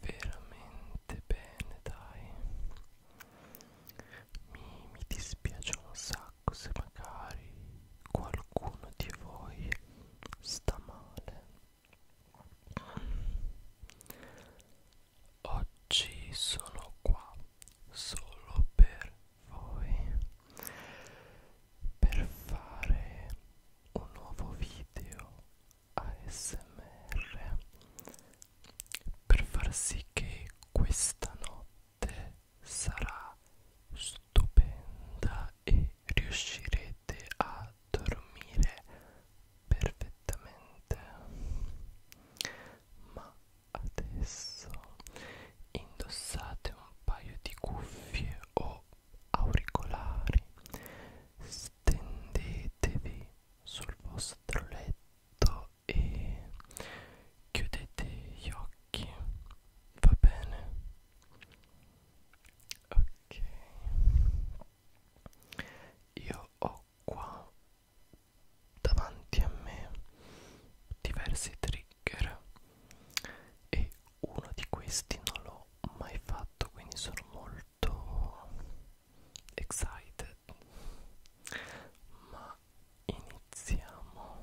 veramente bene dai mi, mi dispiace un sacco se magari qualcuno di voi sta male oggi sono qua solo per voi per fare un nuovo video ASMR per far sì che questa notte sarà stupenda e riuscirete a dormire perfettamente ma adesso indossate un paio di cuffie o auricolari stendetevi sul vostro letto e chiudete gli occhi va bene ok io ho qua davanti a me diversi trigger e uno di questi non l'ho mai fatto quindi sono molto excited ma iniziamo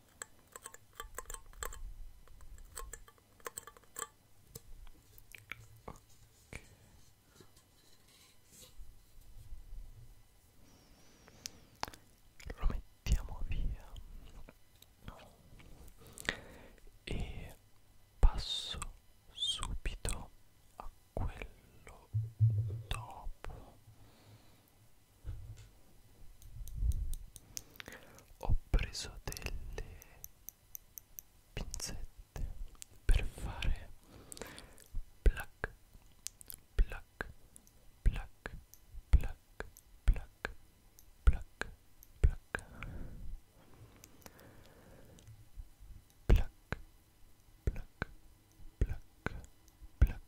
Okay. Lo mettiamo via e passo subito a quello dopo ho preso delle pinzette per fare black black black black black black black black black black black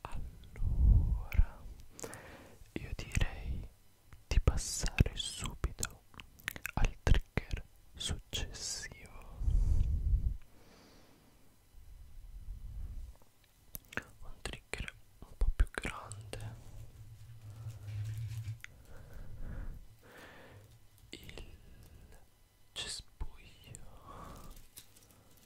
Allora, io direi di passare subito al trigger successivo. Un trigger un po' più grande. Il cespuglio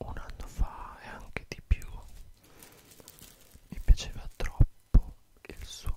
un anno fa e anche di più mi piaceva troppo il suono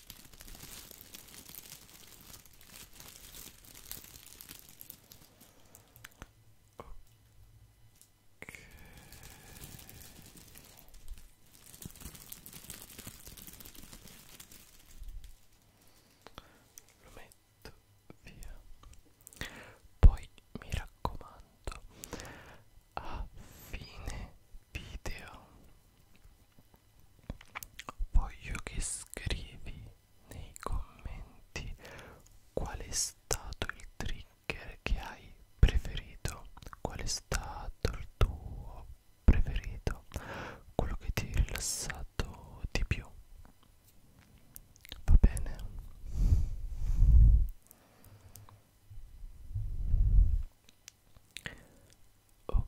Ok. Lo metto via. Poi mi raccomando, a fine video Voglio che scrivi nei commenti qual è stato il trigger che hai preferito, qual è stato il tuo preferito, quello che ti ha rilassato di più. Va bene? Ok.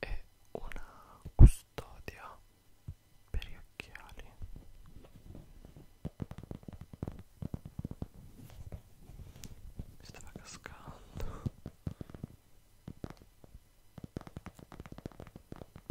e una custodia per gli occhiali mi stava cascando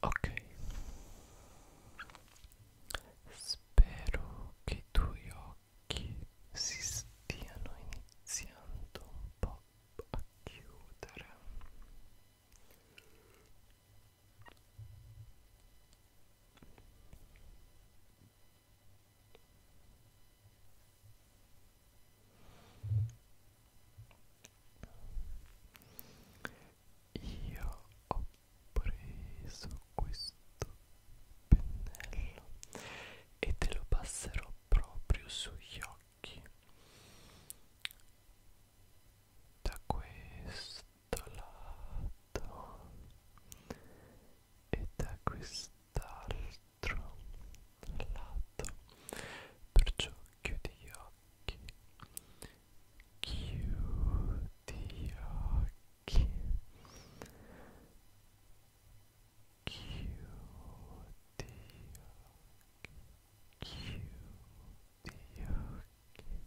Ok, spero che tuoi occhi si stiano iniziando un po' a chiudere. Io ho preso questo pennello e te lo passerò proprio sugli occhi da questo lato e da quest'altro lato perciò chiudi gli occhi chiudi gli occhi chiudi gli occhi chiudi gli occhi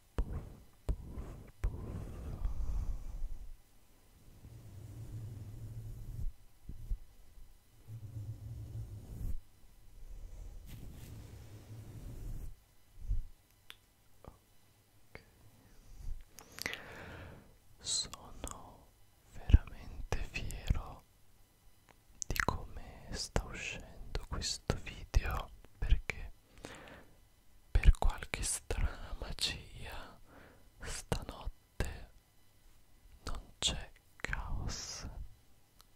puff, puff, puff. Okay. sono veramente fiero di come sta uscendo questo video perché per qualche strana magia stanotte non c'è caos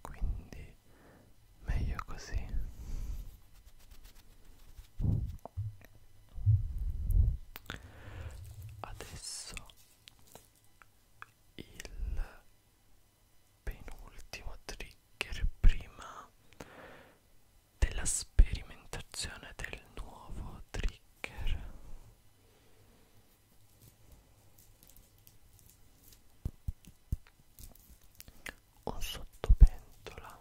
quindi meglio così adesso il penultimo trigger prima della sperimentazione del nuovo trigger un sottopentola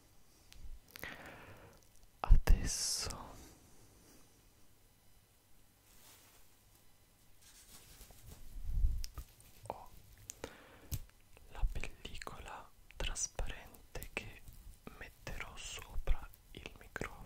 adesso ho la pellicola trasparente che metterò sopra il microfono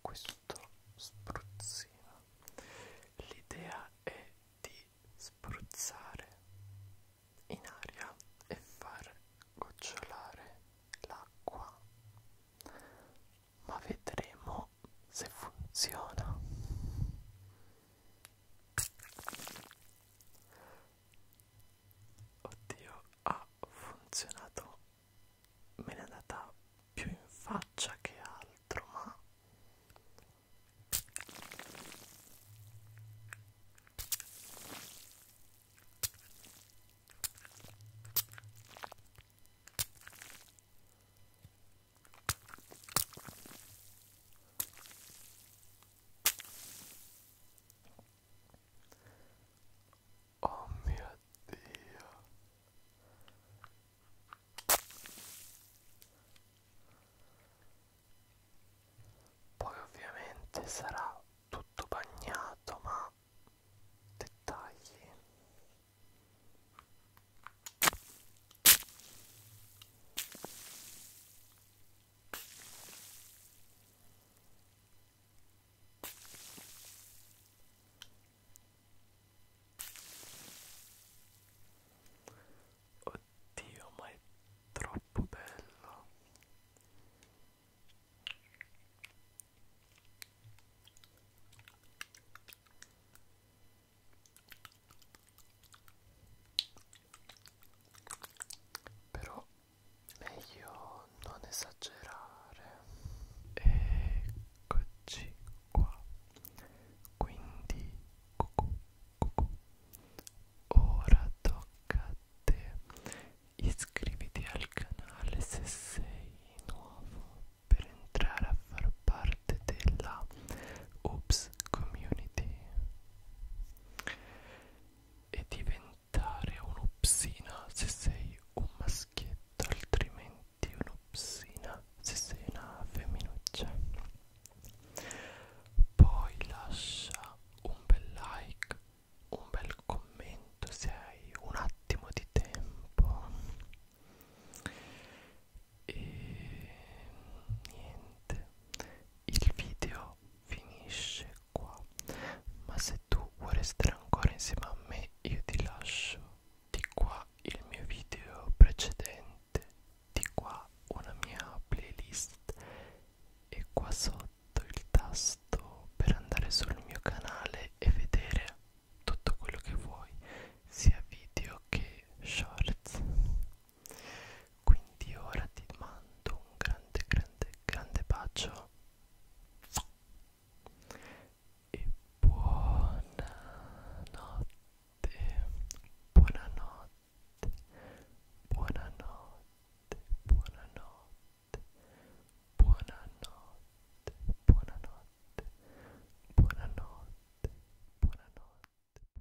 questo spruzzino l'idea è di spruzzare in aria e far gocciolare l'acqua ma vedremo se funziona oddio ha funzionato me ne è andata più in faccia che altro ma Oh mio Dio. Poi ovviamente sarà tutto bagnato, ma dettagli. Oddio, ma è troppo bello però meglio non esagerare eccoci qua quindi cucù, cucù. ora tocca a te iscriviti al canale se sei nuovo per entrare a far parte della Oops Community e diventare un'opsina se sei un maschietto altrimenti un'opsina se sei una femminuccia poi lascia un bel like un bel commento se hai un attimo di tempo e niente il video finisce qua ma se tu vuoi restare ancora insieme a me io ti lascio di qua il mio video precedente di qua una mia playlist e qua sotto il tasto per andare sul mio canale e vedere tutto quello che vuoi sia video che shorts quindi ora ti mando un grande grande grande bacio e buonanotte buonanotte buonanotte buonanotte buonanotte buonanotte buonanotte buonanotte